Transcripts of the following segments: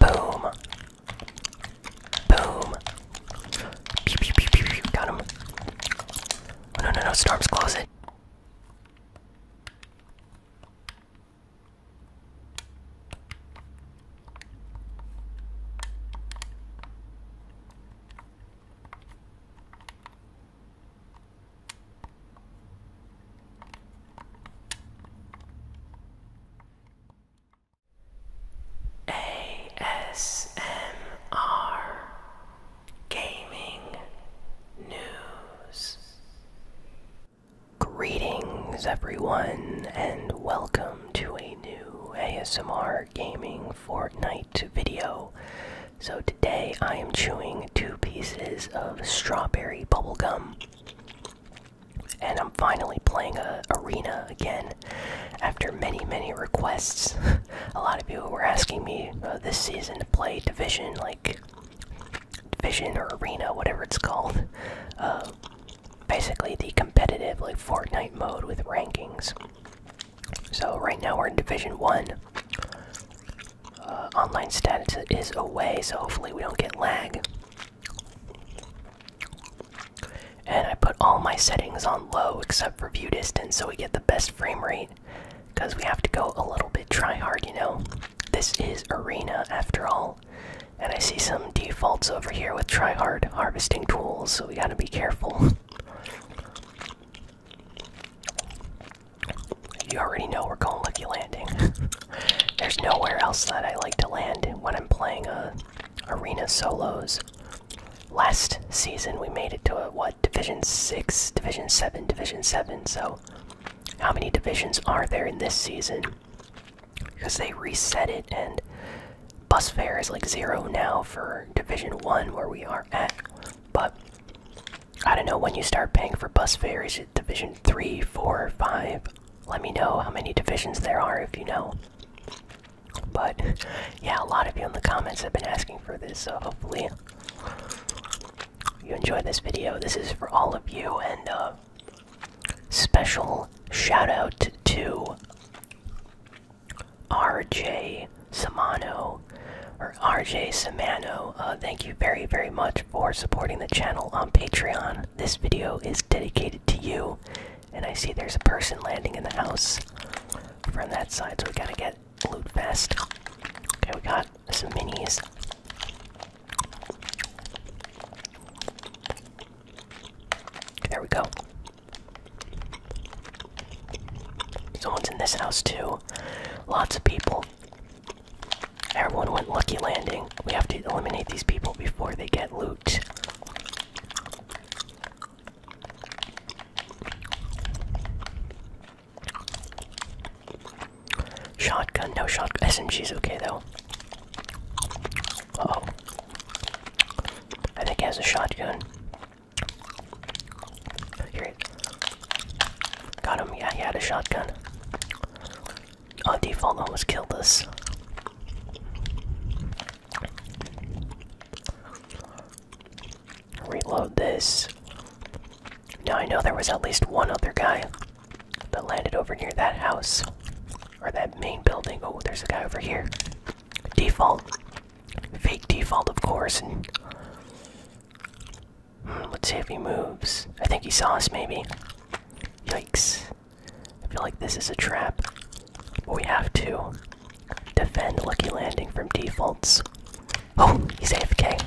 Boom. Boom. Pew, pew, pew, pew, pew. Got him. Oh, no, no, no. Storm's closet. ASMR Gaming News. Greetings, everyone, and welcome to a new ASMR Gaming Fortnite video. So, today I am chewing two pieces of strawberry bubblegum. And I'm finally playing a arena again after many, many requests. a lot of people were asking me uh, this season to play Division, like Division or Arena, whatever it's called. Uh, basically, the competitive, like Fortnite mode with rankings. So, right now we're in Division 1. Uh, online status is away, so hopefully we don't get lag. And I put all my settings on low except for view distance so we get the best frame rate. Because we have to go a little bit try hard, you know? This is Arena after all. And I see some defaults over here with try hard harvesting tools, so we gotta be careful. You already know we're going lucky landing. There's nowhere else that I like to land when I'm playing uh, arena solos. Last season we made it to what division six, division seven, division seven. So how many divisions are there in this season? Because they reset it and bus fare is like zero now for division one where we are at. But I don't know when you start paying for bus fares. Division three, four, five. Let me know how many divisions there are if you know. But yeah, a lot of you in the comments have been asking for this, so hopefully you enjoyed this video. This is for all of you, and uh, special shout out to RJ Samano or RJ Samano. Uh, thank you very, very much for supporting the channel on Patreon this video is dedicated to you. And I see there's a person landing in the house from that side, so we gotta get loot fast. Okay, we got some minis. There we go. Someone's in this house too. Lots of people. Everyone went lucky landing. We have to eliminate these people before they get loot. Shotgun, no shotgun. SMG's okay though. oh. I think he has a shotgun. Here. Got him, yeah, he had a shotgun. Oh, default almost killed us. Reload this. Now I know there was at least one other guy that landed over near that house. Or that main building. Oh, there's a guy over here. Default. Fake default, of course. And hmm, let's see if he moves. I think he saw us, maybe. Yikes. I feel like this is a trap. But we have to defend Lucky Landing from defaults. Oh, he's AFK.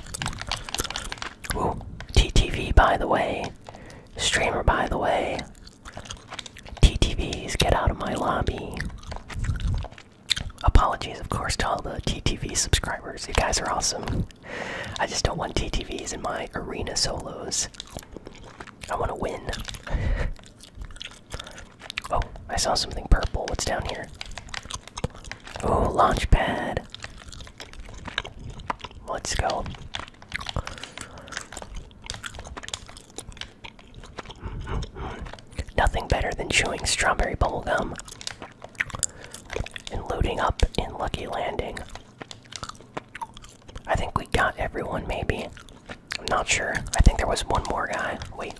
Ooh, TTV by the way. Streamer by the way. TTVs, get out of my lobby. Apologies, of course, to all the TTV subscribers. You guys are awesome. I just don't want TTVs in my arena solos. I want to win. oh, I saw something purple. What's down here? Oh, launch pad. Let's go. Nothing better than chewing strawberry bubblegum and loading up in Lucky Landing. I think we got everyone, maybe. I'm not sure. I think there was one more guy. Wait.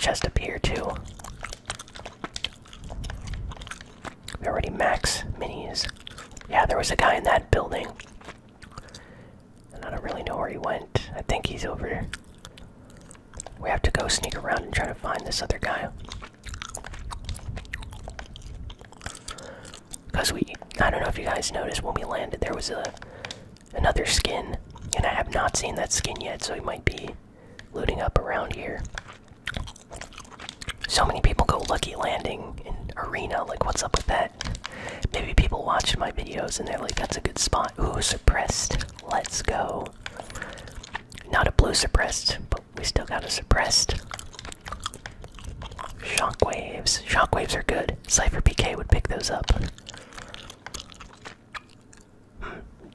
just up here, too. We already max minis. Yeah, there was a guy in that building. I don't really know where he went. I think he's over. We have to go sneak around and try to find this other guy. Cause we, I don't know if you guys noticed when we landed, there was a another skin, and I have not seen that skin yet, so he might be looting up around here. So many people go lucky landing in arena. Like, what's up with that? Maybe people watch my videos and they're like, "That's a good spot." Ooh, suppressed. Let's go. Not a blue suppressed we still got a suppressed. Shockwaves. Shockwaves are good. Cypher PK would pick those up. Hmm.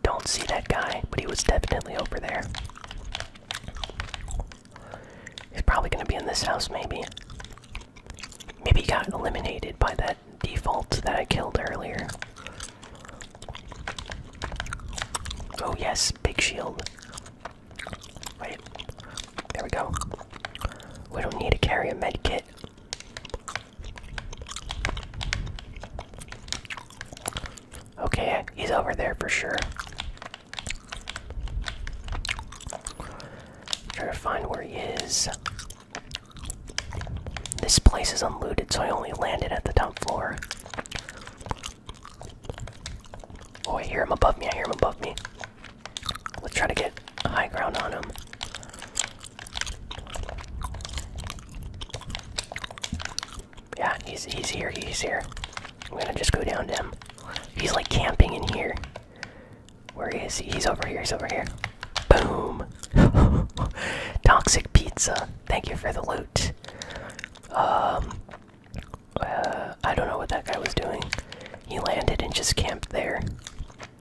don't see that guy, but he was definitely over there. He's probably gonna be in this house, maybe. Maybe he got eliminated by that default that I killed earlier. Oh, yes, big shield. Wait. There we go. We don't need to carry a med kit. Okay, he's over there for sure. Try to find where he is. This place is unlooted, so I only landed at the top floor. Oh, I hear him above me. I hear him above me. Let's try to get high ground on him. Yeah, he's he's here. He's here. I'm gonna just go down to him. He's like camping in here. Where is he? He's over here. He's over here. Boom. Toxic pizza. Thank you for the loot. Um, uh, I don't know what that guy was doing. He landed and just camped there.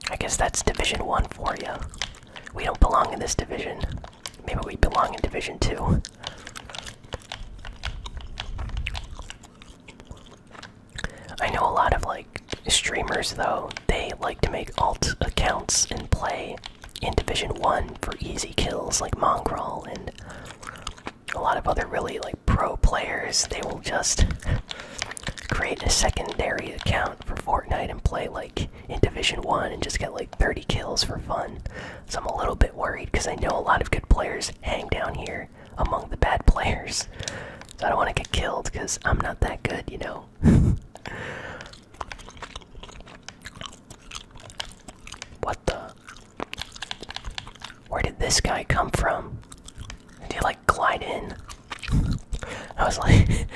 I guess that's Division 1 for you. We don't belong in this division. Maybe we belong in Division 2. I know a lot of like streamers though, they like to make alt accounts and play in Division 1 for easy kills like Mongrel and a lot of other really like pro players they will just create a secondary account for Fortnite and play like in Division 1 and just get like 30 kills for fun. So I'm a little bit worried because I know a lot of good players hang down here among the bad players. So I don't want to get killed because I'm not that good, you know? what the? Where did this guy come from? Did he like glide in? I was like,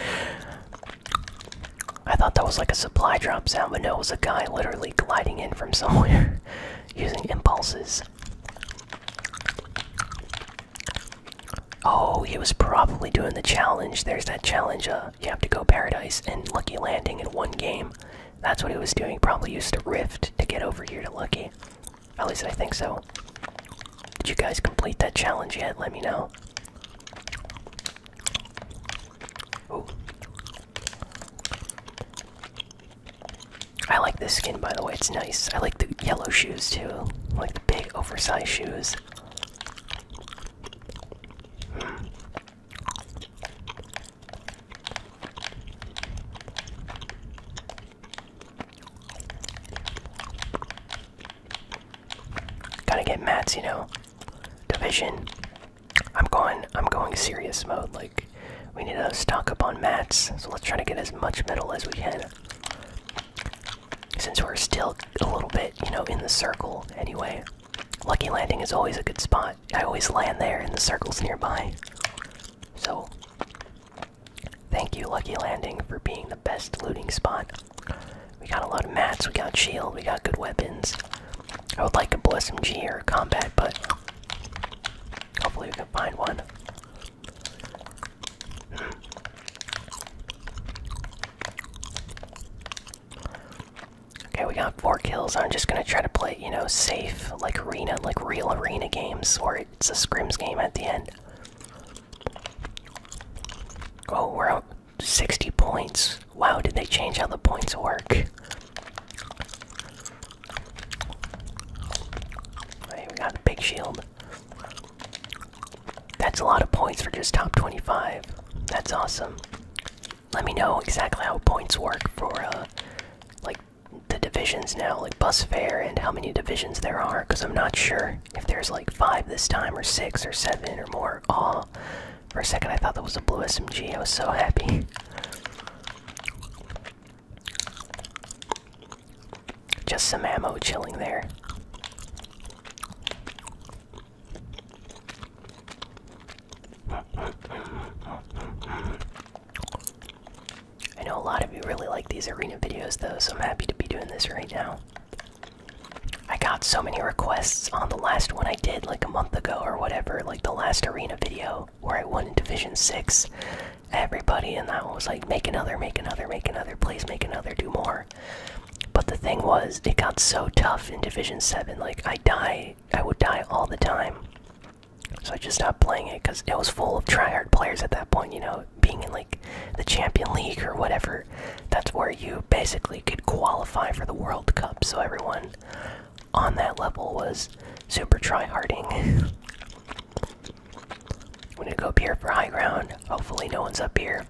I thought that was like a supply drop sound, but no, it was a guy literally gliding in from somewhere using impulses. Oh, he was probably doing the challenge. There's that challenge. Uh, you have to go paradise and lucky landing in one game, that's what he was doing. Probably used a Rift to get over here to Lucky. At least I think so. Did you guys complete that challenge yet? Let me know. Ooh. I like this skin, by the way. It's nice. I like the yellow shoes too. like the big, oversized shoes. Hmm. Gotta get mats, you know. Division. I'm going I'm going serious mode, like we need to stock up on mats, so let's try to get as much metal as we can. Since we're still a little bit, you know, in the circle anyway. Lucky landing is always a good spot. I always land there in the circle's nearby. So, thank you, Lucky Landing, for being the best looting spot. We got a lot of mats, we got shield, we got good weapons. I would like a Bliss MG or a combat, but hopefully we can find one. Okay, we got four kills. I'm just gonna try to play, you know, safe, like arena, like real arena games, or it's a scrims game at the end. Oh, we're out 60 points. Wow, did they change how the points work? Hey, we got a big shield. That's a lot of points for just top 25. That's awesome. Let me know exactly how points work for, uh, like the divisions now, like bus fare and how many divisions there are, because I'm not sure if there's like five this time, or six, or seven, or more. Aw. For a second, I thought that was a blue SMG. I was so happy. Just some ammo chilling there. I know a lot of you really like these arena videos though, so I'm happy to be doing this right now. I got so many requests on the last one I did like a month ago or whatever, like the last arena video where I won in Division 6. Everybody in that one was like, make another, make another, make another, please make another, do more. But the thing was, it got so tough in Division 7, like I die, I would die all the time. So I just stopped playing it because it was full of tryhard players at that point. You know, being in like the Champion League or whatever, that's where you basically could qualify for the World Cup. So everyone on that level was super tryharding. I'm gonna go up here for high ground. Hopefully, no one's up here.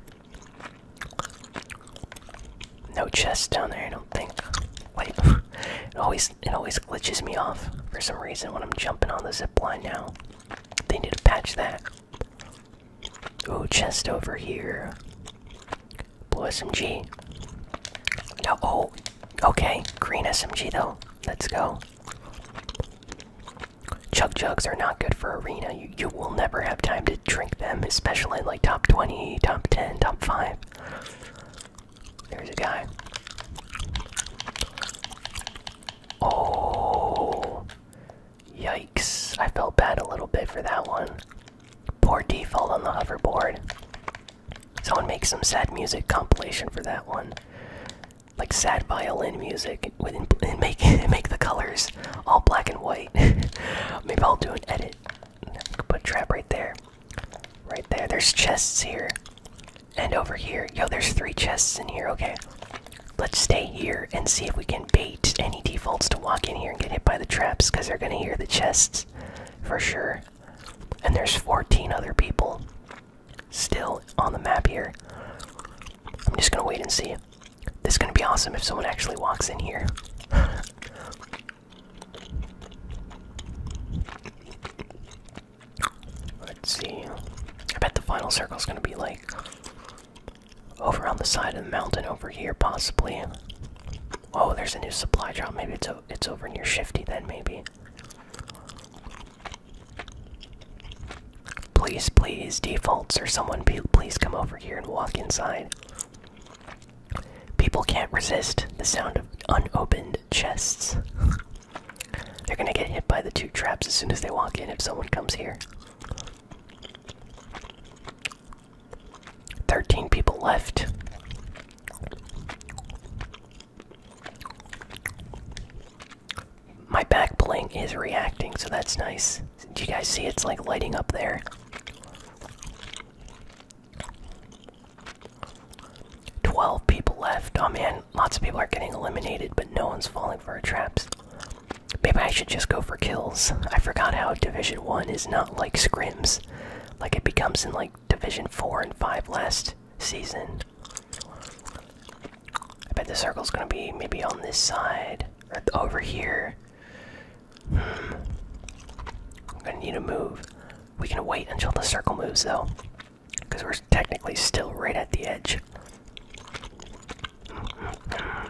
No chests down there, I don't think. Wait, it always it always glitches me off for some reason when I'm jumping on the zip line now. They need to patch that. Ooh, chest over here. Blue SMG. oh, okay. Green SMG though. Let's go. Chug jugs are not good for arena. You you will never have time to drink them, especially like top 20, top 10, top 5. There's a guy. Oh, yikes. I felt bad a little bit for that one. Poor default on the hoverboard. Someone make some sad music compilation for that one. Like sad violin music with and make make the colors all black and white. Maybe I'll do an edit. Put trap right there. Right there. There's chests here. And over here. Yo, there's three chests in here. Okay. Let's stay here and see if we can bait any defaults to walk in here and get hit by the traps because they're going to hear the chests for sure. And there's 14 other people still on the map here. I'm just going to wait and see. This is going to be awesome if someone actually walks in here. Let's see. I bet the final circle is going to be like over on the side of the mountain over here, possibly. Oh, there's a new supply drop. Maybe it's it's over near Shifty then. Maybe. Please, please, defaults or someone, please come over here and walk inside. People can't resist the sound of unopened chests. They're gonna get hit by the two traps as soon as they walk in if someone comes here. 13 people left. My back bling is reacting, so that's nice. Do you guys see it's like lighting up there? 12 people left. Oh man, lots of people are getting eliminated, but no one's falling for our traps. Maybe I should just go for kills. I forgot how Division 1 is not like scrims, like it becomes in like Division 4 and 5 last season. I bet the circle's gonna be maybe on this side, or over here. Hmm. i need to move. We can wait until the circle moves though, because we're technically still right at the edge. I'm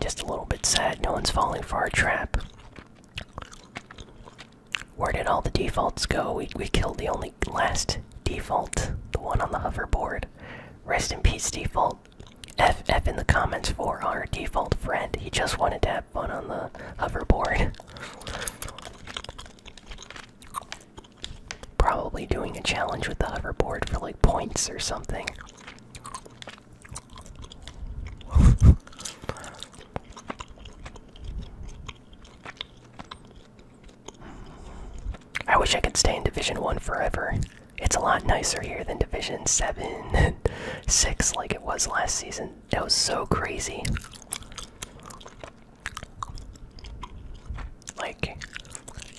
just a little bit sad no one's falling for our trap. Where did all the defaults go? We, we killed the only last default, the one on the hoverboard. Rest in peace, default. F FF in the comments for our default friend. He just wanted to have fun on the hoverboard. Probably doing a challenge with the hoverboard for like points or something. I wish I could stay in Division 1 forever. It's a lot nicer here than Division 7 six like it was last season. It was so crazy. Like,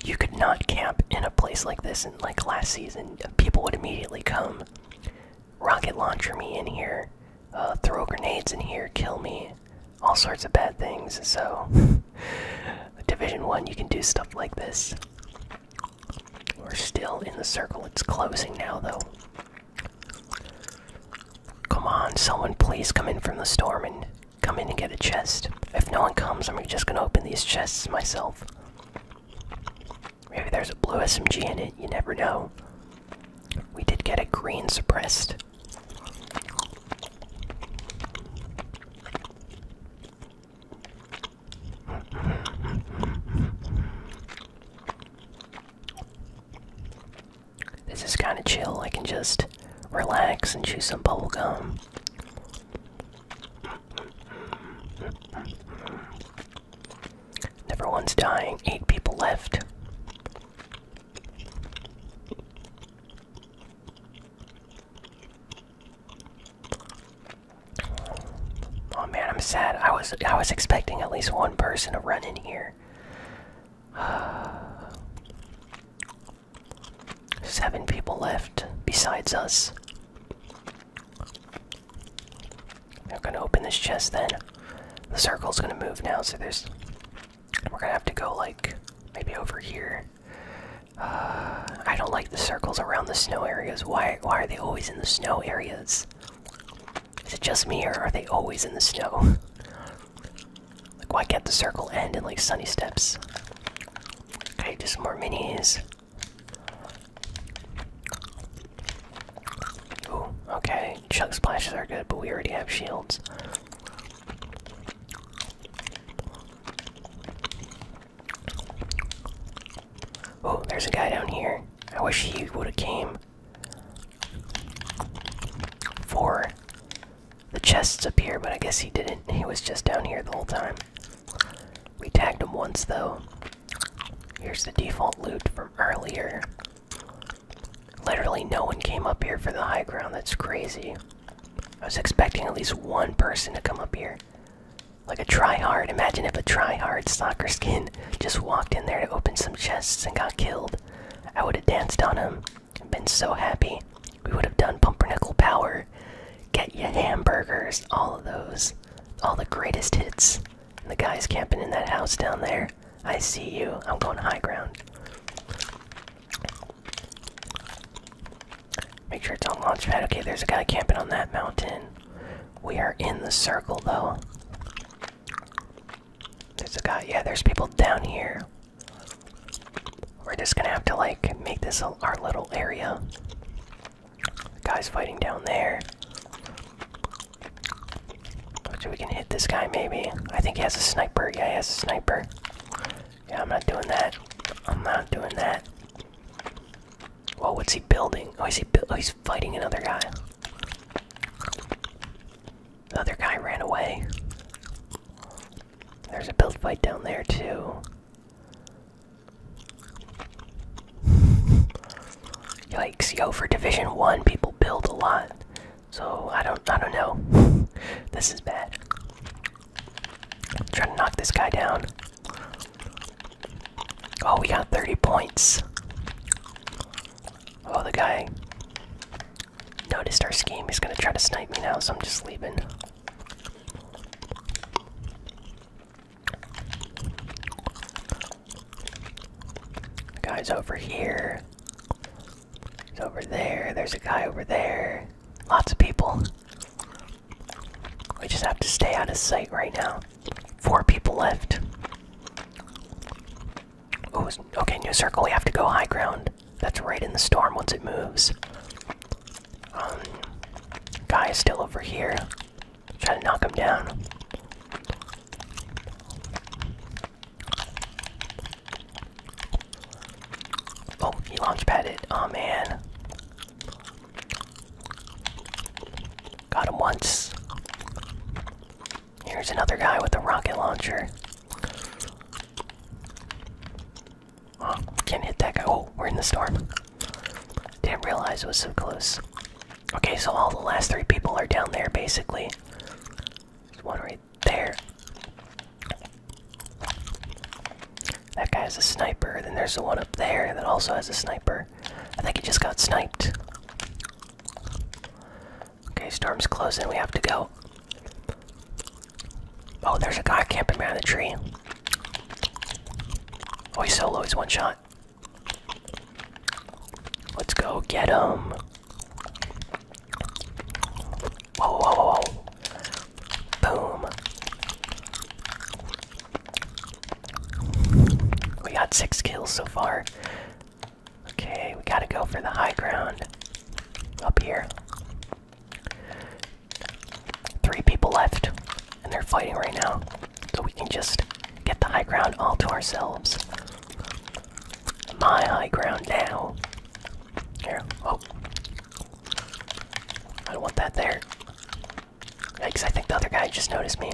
you could not camp in a place like this, and like last season, people would immediately come rocket launcher me in here, uh, throw grenades in here, kill me, all sorts of bad things. So, Division 1, you can do stuff like this. We're still in the circle. It's closing now, though. Come on, someone please come in from the storm and come in and get a chest. If no one comes, I'm just gonna open these chests myself. Maybe there's a blue SMG in it, you never know. We did get a green suppressed. This is kind of chill. I can just relax and chew some bubble gum. Never one's dying. Eight people left. Oh man, I'm sad. I was I was expecting at least one person to run in here. Seven people left besides us. i are gonna open this chest then. The circle's gonna move now, so there's. We're gonna have to go like maybe over here. I don't like the circles around the snow areas. Why? Why are they always in the snow areas? Is it just me, or are they always in the snow? like, why can't the circle end in like sunny steps? Okay, just more minis. okay. chunk splashes are good, but we already have shields. Oh, there's a guy down here. I wish he would have came. for The chest's up here, but I guess he didn't. He was just down here the whole time. We tagged him once, though. Here's the default loot from earlier. Literally no one came up here for the high ground. That's crazy. I was expecting at least one person to come up here. Like a tryhard. Imagine if a tryhard soccer skin just walked in there to open some chests and got killed. I would have danced on him. Been so happy. We would have done pumpernickel power. Get ya hamburgers. All of those. All the greatest hits. the guy's camping in that house down there. I see you. I'm going high ground. Make sure it's on launchpad. Okay, there's a guy camping on that mountain. We are in the circle though. There's a guy. Yeah, there's people down here. We're just gonna have to like make this our little area. The guy's fighting down there. So we can hit this guy maybe. I think he has a sniper. Yeah, he has a sniper. Yeah, I'm not doing that. I'm not doing that. Whoa, what's he building? Oh, oh he's fighting another guy. other guy ran away. There's a build fight down there, too. Yikes, yo, for Division 1, people build a lot. So, I don't, I don't know. this is bad. I'm trying to knock this guy down. Oh, we got 30 points. Oh, the guy noticed our scheme. He's gonna try to snipe me now, so I'm just leaving. The guy's over here. He's over there. There's a guy over there. Lots of people. We just have to stay out of sight right now. Four people left. Ooh, okay, new circle. We have to go high ground. That's right in the storm once it moves. Um, guy is still over here. Try to knock him down. Oh, he launch padded. Oh man. Got him once. Here's another guy with a rocket launcher. Oh, can't hit that guy. Oh, we're in the storm. Didn't realize it was so close. Okay, so all the last three people are down there basically. There's one right there. That guy has a sniper. Then there's the one up there that also has a sniper. I think he just got sniped. Okay, storm's closing. We have to go. Oh, there's a guy camping behind the tree. Oh, he's solo. He's one shot. Let's go get him. whoa. Boom. We got six kills so far. Okay, we gotta go for the high ground. Up here. Three people left, and they're fighting right now. So we can just get the high ground all to ourselves. My high ground now. Here, oh. I don't want that there. Because I think the other guy just noticed me.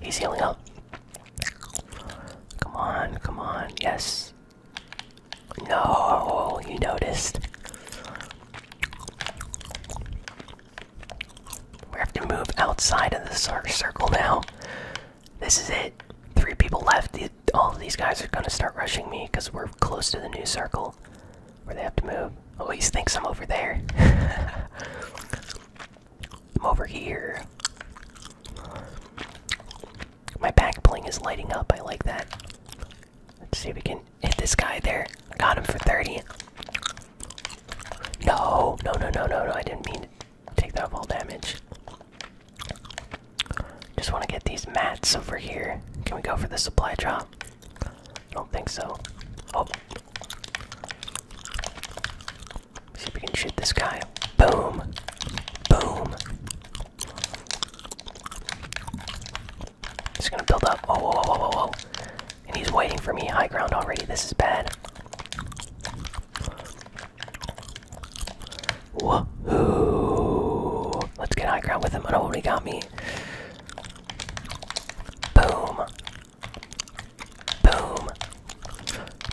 He's healing up. Come on, come on, yes. No, you noticed. We have to move outside of the circle now. This is it. Three people left. All of these guys are gonna start rushing me because we're close to the new circle where they have to move. Oh, he thinks I'm over there. I'm over here. My back bling is lighting up. I like that. Let's see if we can hit this guy there. got him for 30. No, no, no, no, no, no. I didn't mean to take that wall damage. Just want to get these mats over here. Can we go for the supply drop? I don't think so. Oh, See if we can shoot this guy. Boom. Boom. He's gonna build up. Oh, whoa, whoa, whoa, whoa, whoa. And he's waiting for me. High ground already. This is bad. Woohoo! Let's get high ground with him. Oh, he got me. Boom. Boom.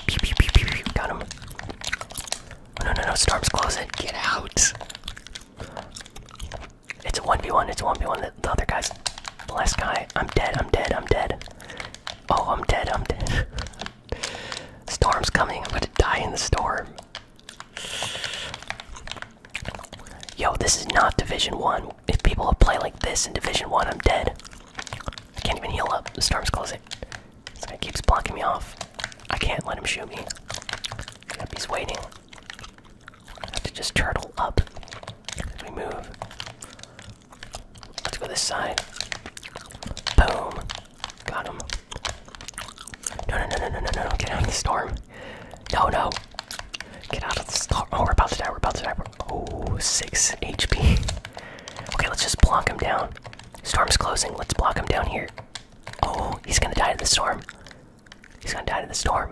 Pew, pew, pew, pew, pew. Got him. Oh, no, no, no. Storm's closet. Get out. It's a 1v1. It's a 1v1. The, the other guy's. The last guy. I'm dead. I'm dead. I'm dead. Oh, I'm dead. I'm dead. Storm's coming. I'm going to die in the storm. Yo, this is not Division 1 if people play like this in Division One, I'm dead. I can't even heal up. The storm's closing. This guy keeps blocking me off. I can't let him shoot me. Yep, he's waiting. I have to just turtle up. As we move. Let's go this side. Boom. Got him. No, no, no, no, no, no, no. Get out of the storm. No, no. Get out of the star. Oh, we're about to die. We're about to die. We're oh, HP. okay, let's just block him down. Storm's closing. Let's block him down here. Oh, he's gonna die to the storm. He's gonna die to the storm.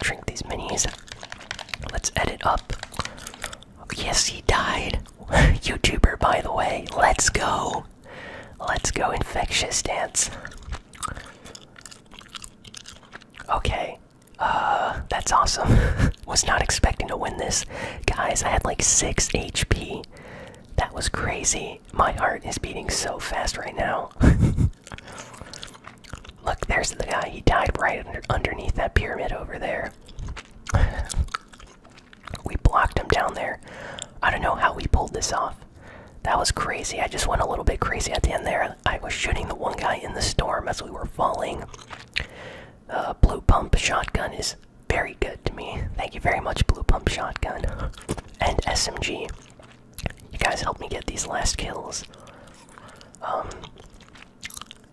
drink these minis. Let's edit up. Oh, yes, he died. YouTuber, by the way. Let's go. Let's go, infectious dance. Okay. Uh, that's awesome. was not expecting to win this. Guys, I had like 6 HP. That was crazy. My heart is beating so fast right now. Look, there's the guy. He died right under, underneath that pyramid over there. we blocked him down there. I don't know how we pulled this off. That was crazy. I just went a little bit crazy at the end there. I was shooting the one guy in the storm as we were falling. Uh, Blue Pump Shotgun is very good to me. Thank you very much, Blue Pump Shotgun. And SMG. You guys helped me get these last kills. Um,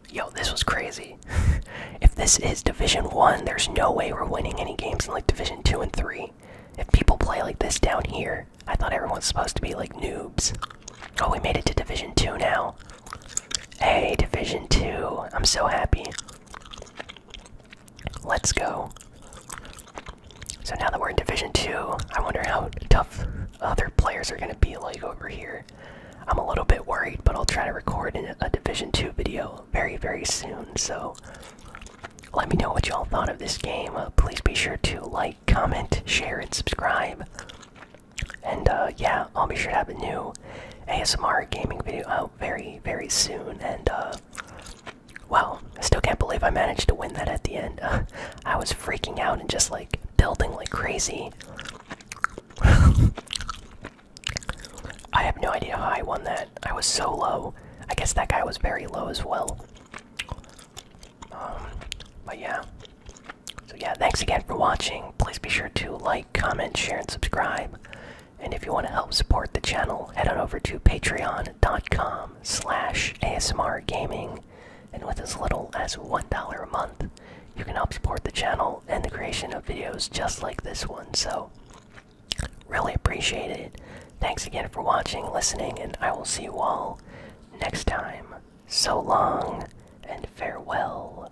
yo, this was crazy. if this is Division 1, there's no way we're winning any games in like Division 2 and 3. If people play like this down here, I thought everyone's supposed to be like noobs. Oh, we made it to Division 2 now. Hey, Division 2. I'm so happy. Let's go. So now that we're in Division 2, I wonder how tough other players are going to be like over here. I'm a little bit worried, but I'll try to record a Division 2 video very, very soon. So let me know what y'all thought of this game. Uh, please be sure to like, comment, share, and subscribe. And uh, yeah, I'll be sure to have a new ASMR gaming video out very, very soon. And uh, wow, I still can't believe I managed to win that at the end. I was freaking out and just like building like crazy. I have no idea how I won that. I was so low. I guess that guy was very low as well. Um, but yeah. So yeah, thanks again for watching. Please be sure to like, comment, share, and subscribe. And if you want to help support the channel, head on over to patreon.com slash ASMRgaming. And with as little as $1 a month, you can help support the channel and the creation of videos just like this one. So really appreciate it. Thanks again for watching, listening, and I will see you all next time so long and farewell.